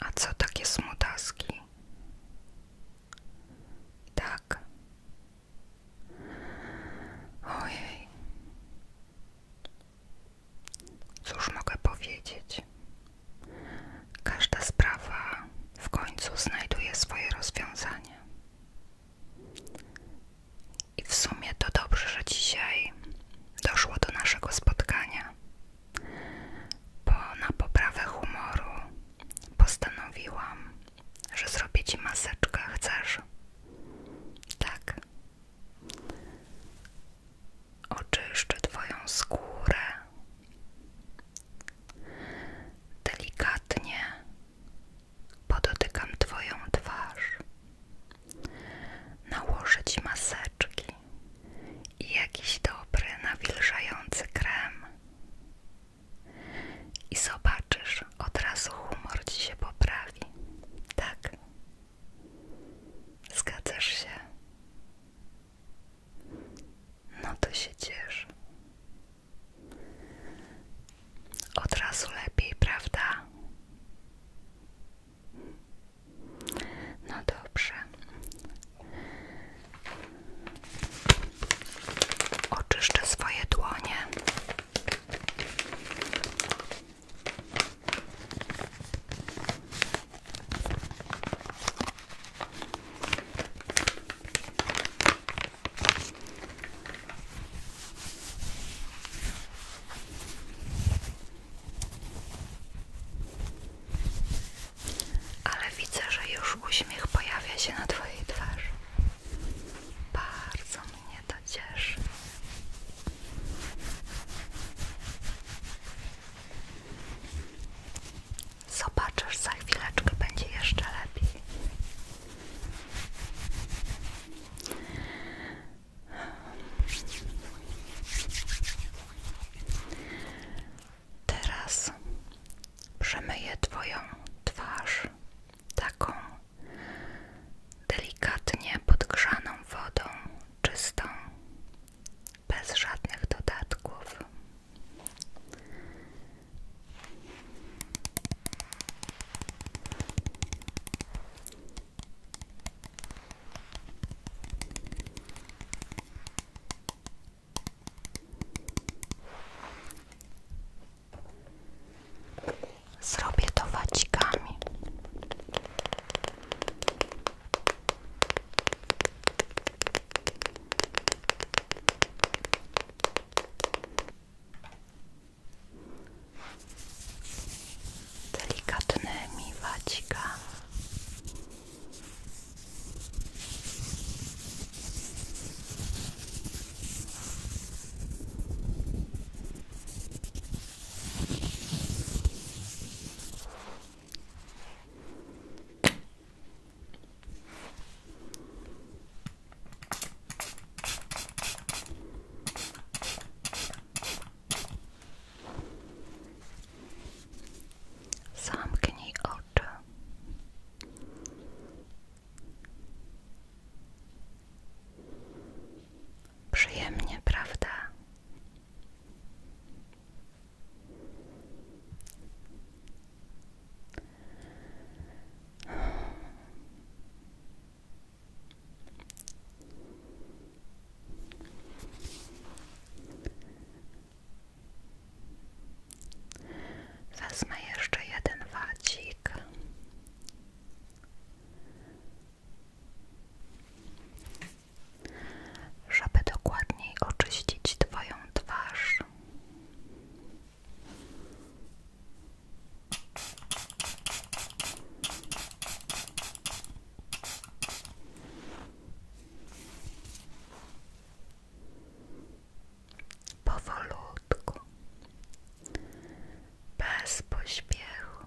A co takie smutaski? Tak. Ojej. Cóż mogę powiedzieć? Każda sprawa w końcu znajduje swoje rozwiązanie. I w sumie to dobrze, że dzisiaj doszło do naszego spotkania, bo na poprawę humoru postanowiłam, że zrobię ci maseczkę. Chcesz? Tak. Oczyszczę Twoją skórę. Delikatnie podotykam Twoją twarz, nałożę Ci maseczki i jakiś dobry, nawilżający krem i zobaczysz, od razu humor Ci się poprawi, tak? Zgadzasz się? No to się cieszę. Od razu lepiej, prawda? No dobrze. Oczyszczę swoje dłonie. Ale widzę, że już uśmiech pojawia się na Twojej twarzy. Bardzo mnie to cieszy. Zobaczysz, za chwileczkę będzie jeszcze lepiej. Teraz przemyję Twoją twarz taką delikatnie podgrzaną wodą, czystą, bez żadnych dodatków. Zrobię to wacikami delikatnymi wacikami. Zamknij oczy. Przyjemnie, prawda? Wezmę jeszcze jeden wadzik, Żeby dokładniej oczyścić Twoją twarz. Powolutku, bez pośpiechu.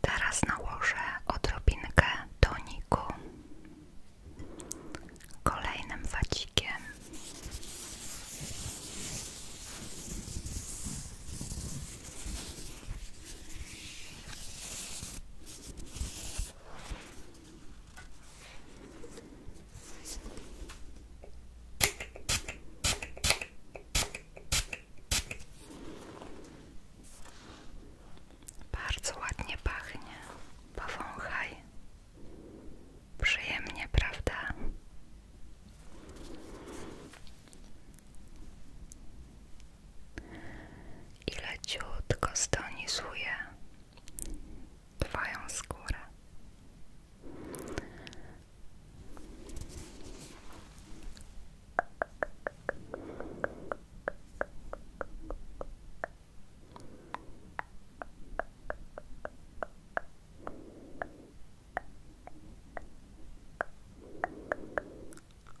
Teraz nałożę odrobinkę Doniku, kolejnym wacikiem. Bardzo ładnie pachnie. Powąchaj. Przyjemnie, prawda? I leciutko stonizuje Twoją skórę.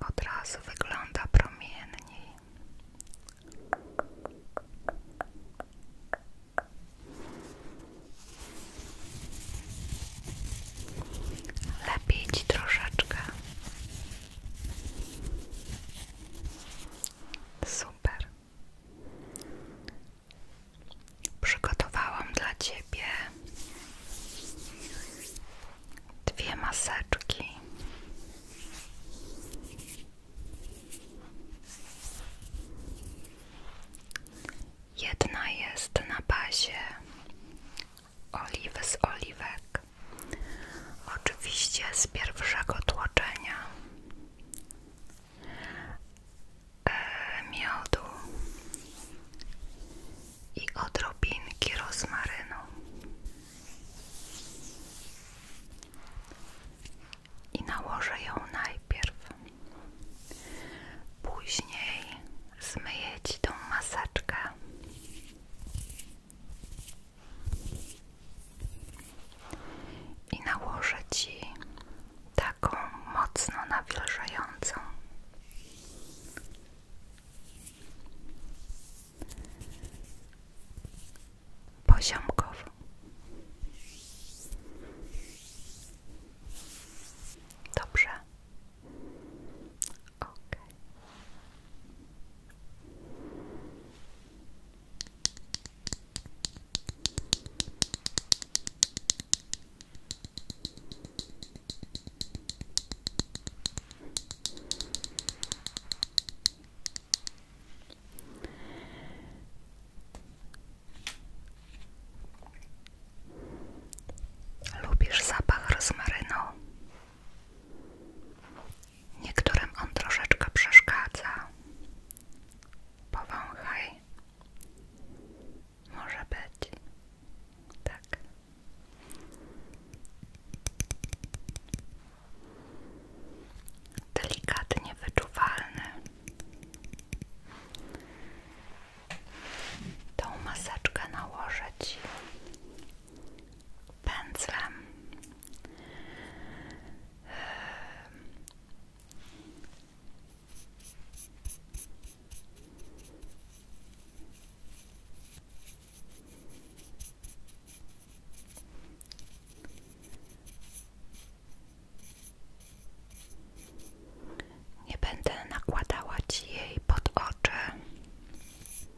Od razu wygląda promienniej. Lepiej ci Super. Przygotowałam dla ciebie dwie maseczki. Jedna jest na bazie oliwy z oliwek, oczywiście z pierwszego tłoczenia, e, miodu i odrobinki rozmarynu. I nałożę ją najpierw. Później zmyję ci tą maseczkę i nałożę Ci taką mocno nawilżającą. Poziomkowo. Dobrze ok Lubisz zapach rozmarynu? Niektórym on troszeczkę przeszkadza. Powąchaj. Może być. Tak. Delikatnie wyczuwalny. Tą maseczkę nałożyć pędzlem. Nie będę nakładała ci jej pod oczy.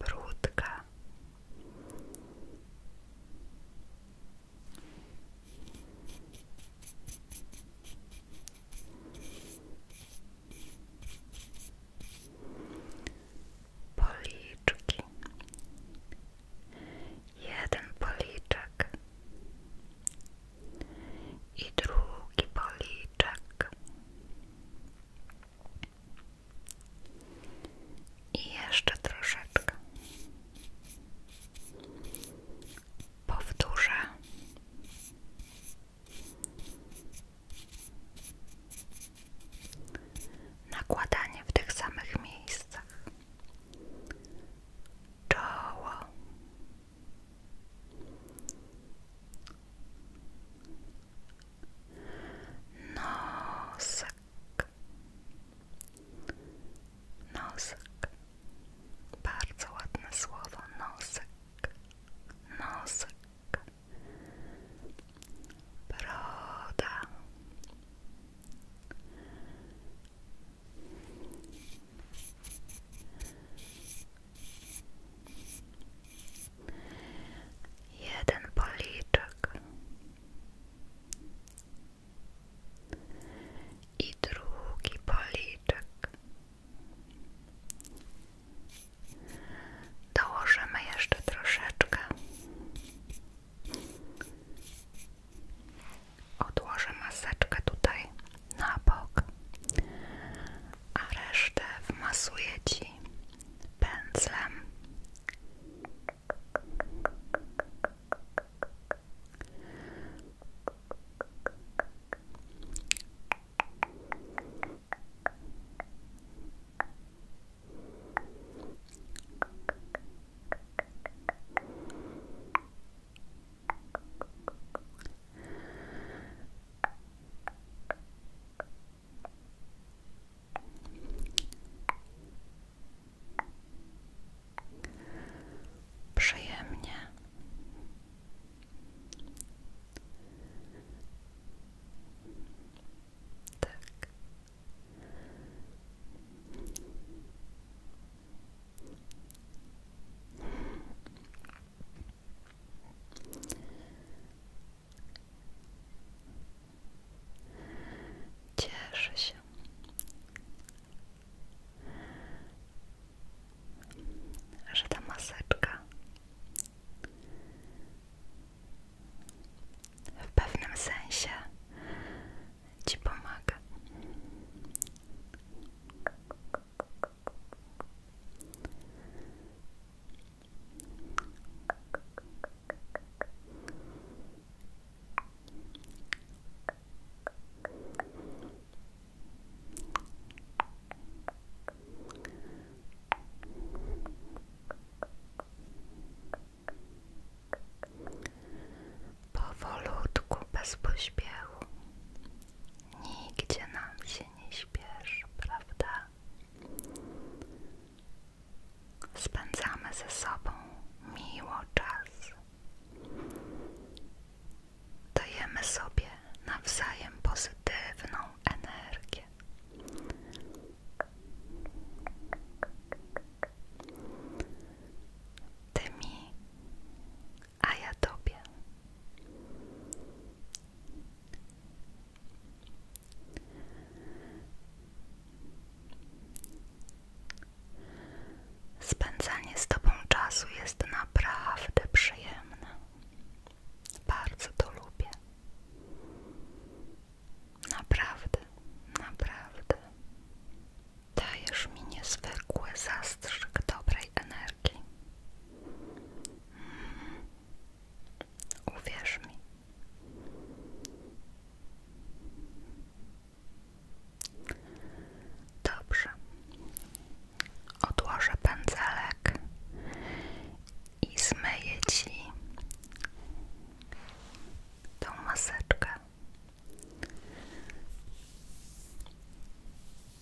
brudka policzki jeden policzek i drugi policzek i jeszcze troszeczkę. Powtórzę. Nakładanie w tych samych miejscach. Czoło. Nosek. Nosek. Bardzo ładne słowo. Nosek. Nosek. Broda jeden policzek i drugi policzek. Dołożymy jeszcze troszeczkę. Odłożę maseczkę tutaj na bok a resztę wmasuję Ci pędzlem. Przyjemnie. Tak. Cieszę Że ta maseczka w pewnym sensie ci pomaga. Powolutku, bez pośpiechu. Nigdzie nam się nie śpieszy, prawda? Spędzamy ze sobą miło czas. Dajemy sobie nawzajem pozytywną energię. Ty mi, a ja tobie. Spędzanie z Tobą czasu jest naprawdę przyjemne. Bardzo to lubię. Naprawdę, naprawdę. Dajesz mi niezwykły zastrzyk dobrej energii. Uwierz mi. Dobrze. Odłożę pędzelek i zmyję ci tą maseczkę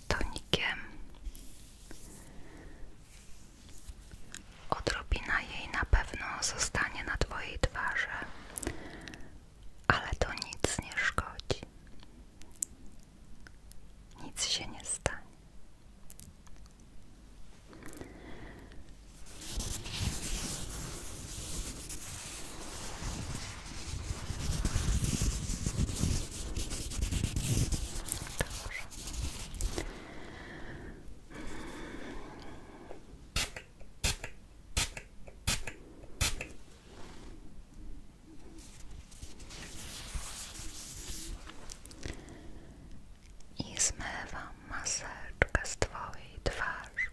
tonikiem Odrobina jej na pewno zostanie na Twojej twarzy, ale to nic nie szkodzi. Nic się nie stanie. Dobrze. I zmywam maseczkę z Twojej twarzy.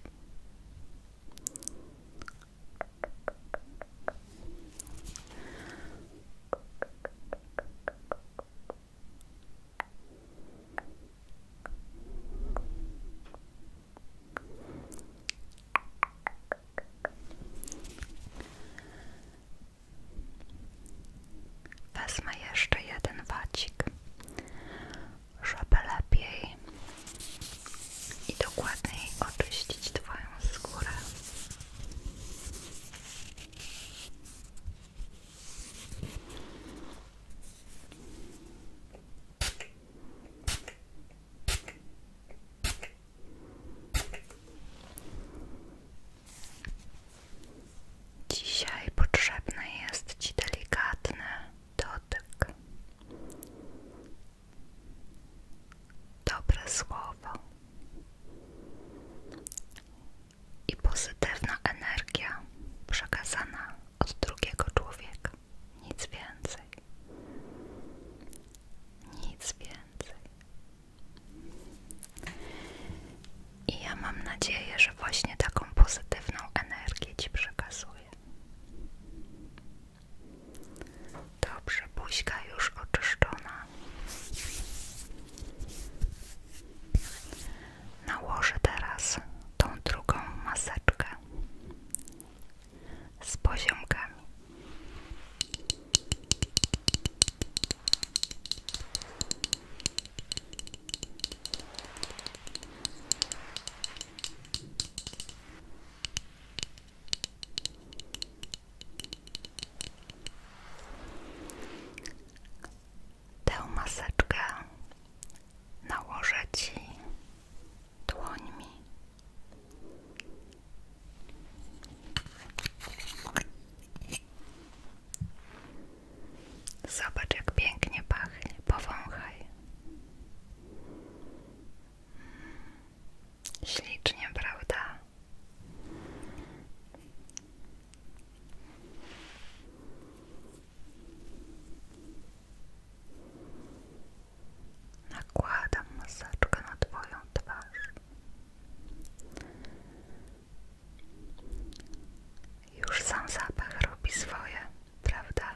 Wezmę jeszcze jeden wacik, żeby lepiej i dokładniej oczyścić Twoją skórę. Dzisiaj potrzebny jest Ci delikatny dotyk. Dobre słowo i pozytywna energia przekazana od drugiego człowieka. Nic więcej. Nic więcej. I ja mam nadzieję, że właśnie taką pozytywną energię Ci przekazuję. Dobrze, buźka już oczyszczona. Nałożę teraz tą drugą maseczkę z poziomkami. Tę maseczkę nałożę Ci dłońmi. Zobacz, jak pięknie pachnie. Powąchaj. Hmm. Ślicznie, prawda? Nakładam maseczkę na Twoją twarz. Już sam zapach robi swoje, prawda?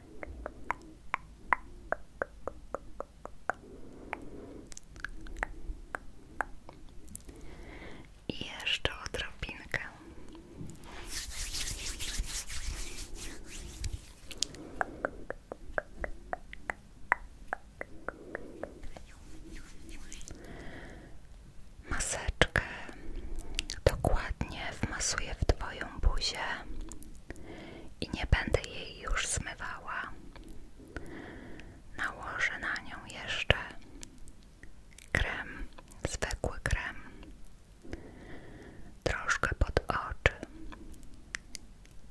I jeszcze odrobinkę. Maseczkę dokładnie wmasuję w Twoją buzię i nie będę jej już zmywała. Nałożę na nią jeszcze krem, zwykły krem, troszkę pod oczy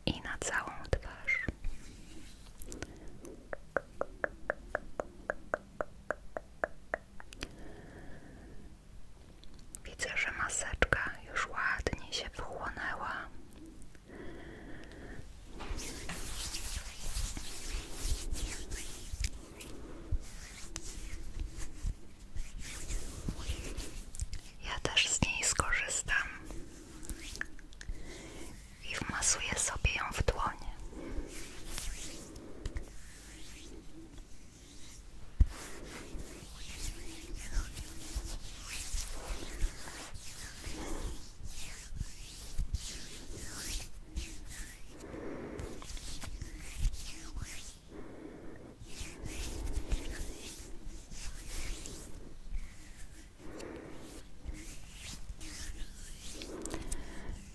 i na całą twarz. Widzę, że maseczka już ładnie się wchłonęła. Ja też z niej skorzystam i wmasuję sobie ją w dłonie.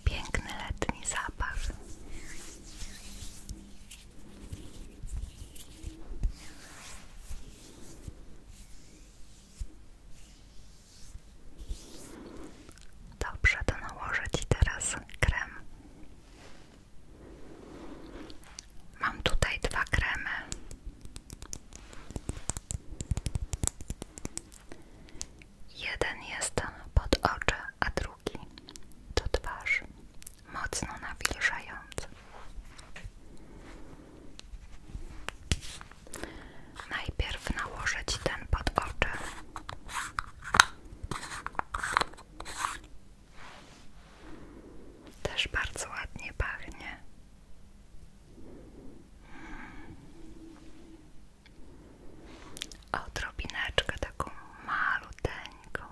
Piękny letni zapach. Dobrze, to nałożę Ci teraz krem. Mam tutaj dwa kremy. Jeden jest pod oczy, a drugi do twarz mocno nawilżając. Najpierw nałożyć ten pod oczy. Też bardzo ładnie pachnie. Odrobineczkę taką maluteńką.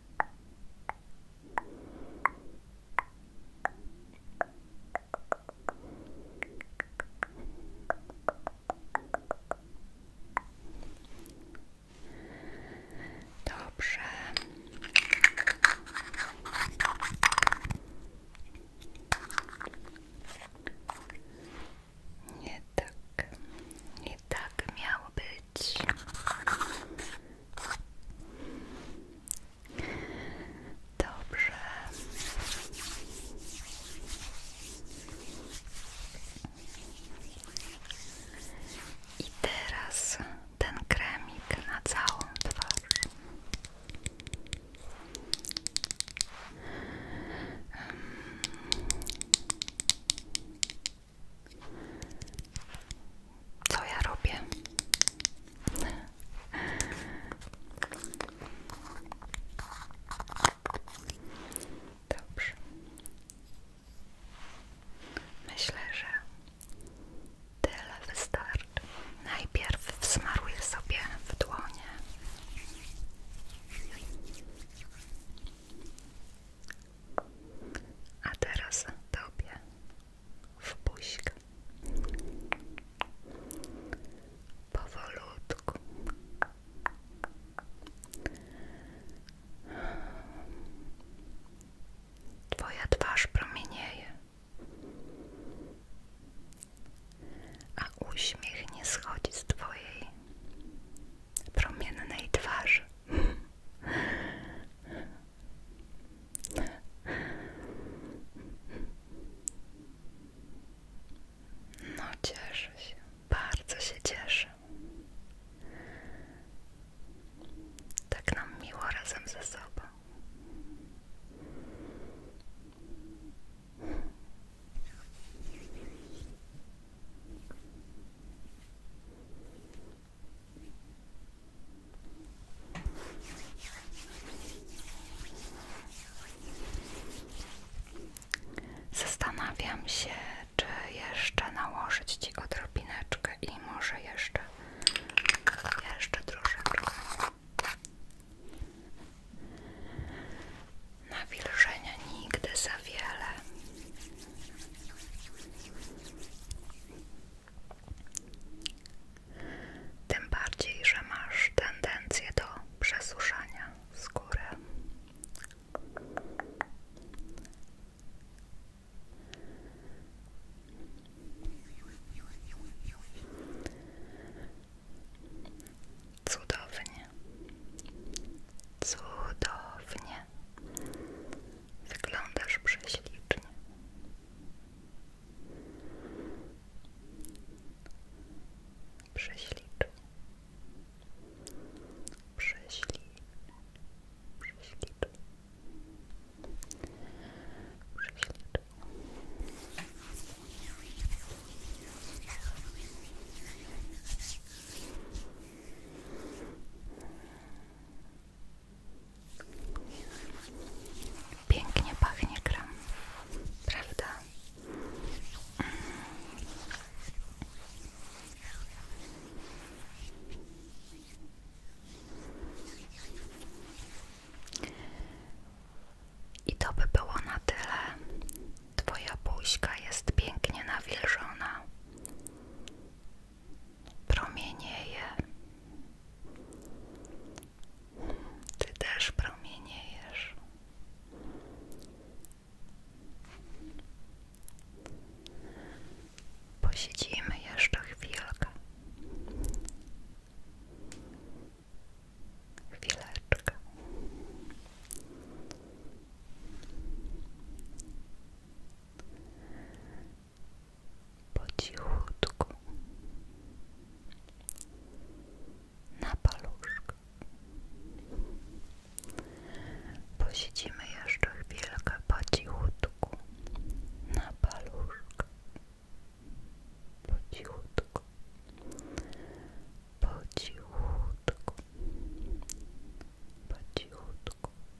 Dobrze. Nie tak, nie tak miało być. Dobrze. I teraz ten kremik na całą twarz. Co ja robię? Dobrze. Myślę, że tyle wystarczy. Najpierw wsmaruję sobie w dłonie. A teraz tobie w buźkę. Powolutku. Twoja twarz promienieje, a uśmiech nie schodzi z twojej promiennej twarzy. No cieszę się, bardzo się cieszę. Tak nam miło razem ze sobą. Zastanawiam się, czy jeszcze nałożyć Ci odrobineczkę i może jeszcze, jeszcze troszeczkę nawilżenia nigdy za wiele tym bardziej, że masz tendencję do przesuszania skóry. Cudownie, cudownie. Wyglądasz prześlicznie. Prześlicznie. Prześlicznie. Prześlicznie. Prześlicznie. Pięknie pachnie kram, prawda? Mm. I to by było na tyle. Twoja buźka jest pięknie nawilżona promienieje. Ty też promieniejesz. Posiedzimy jeszcze chwilkę. Chwileczkę po cichutku na paluszku. Posiedzimy jeszcze chwilkę po cichutku na paluszku. Po cichutku. Po cichutku. Po cichutku.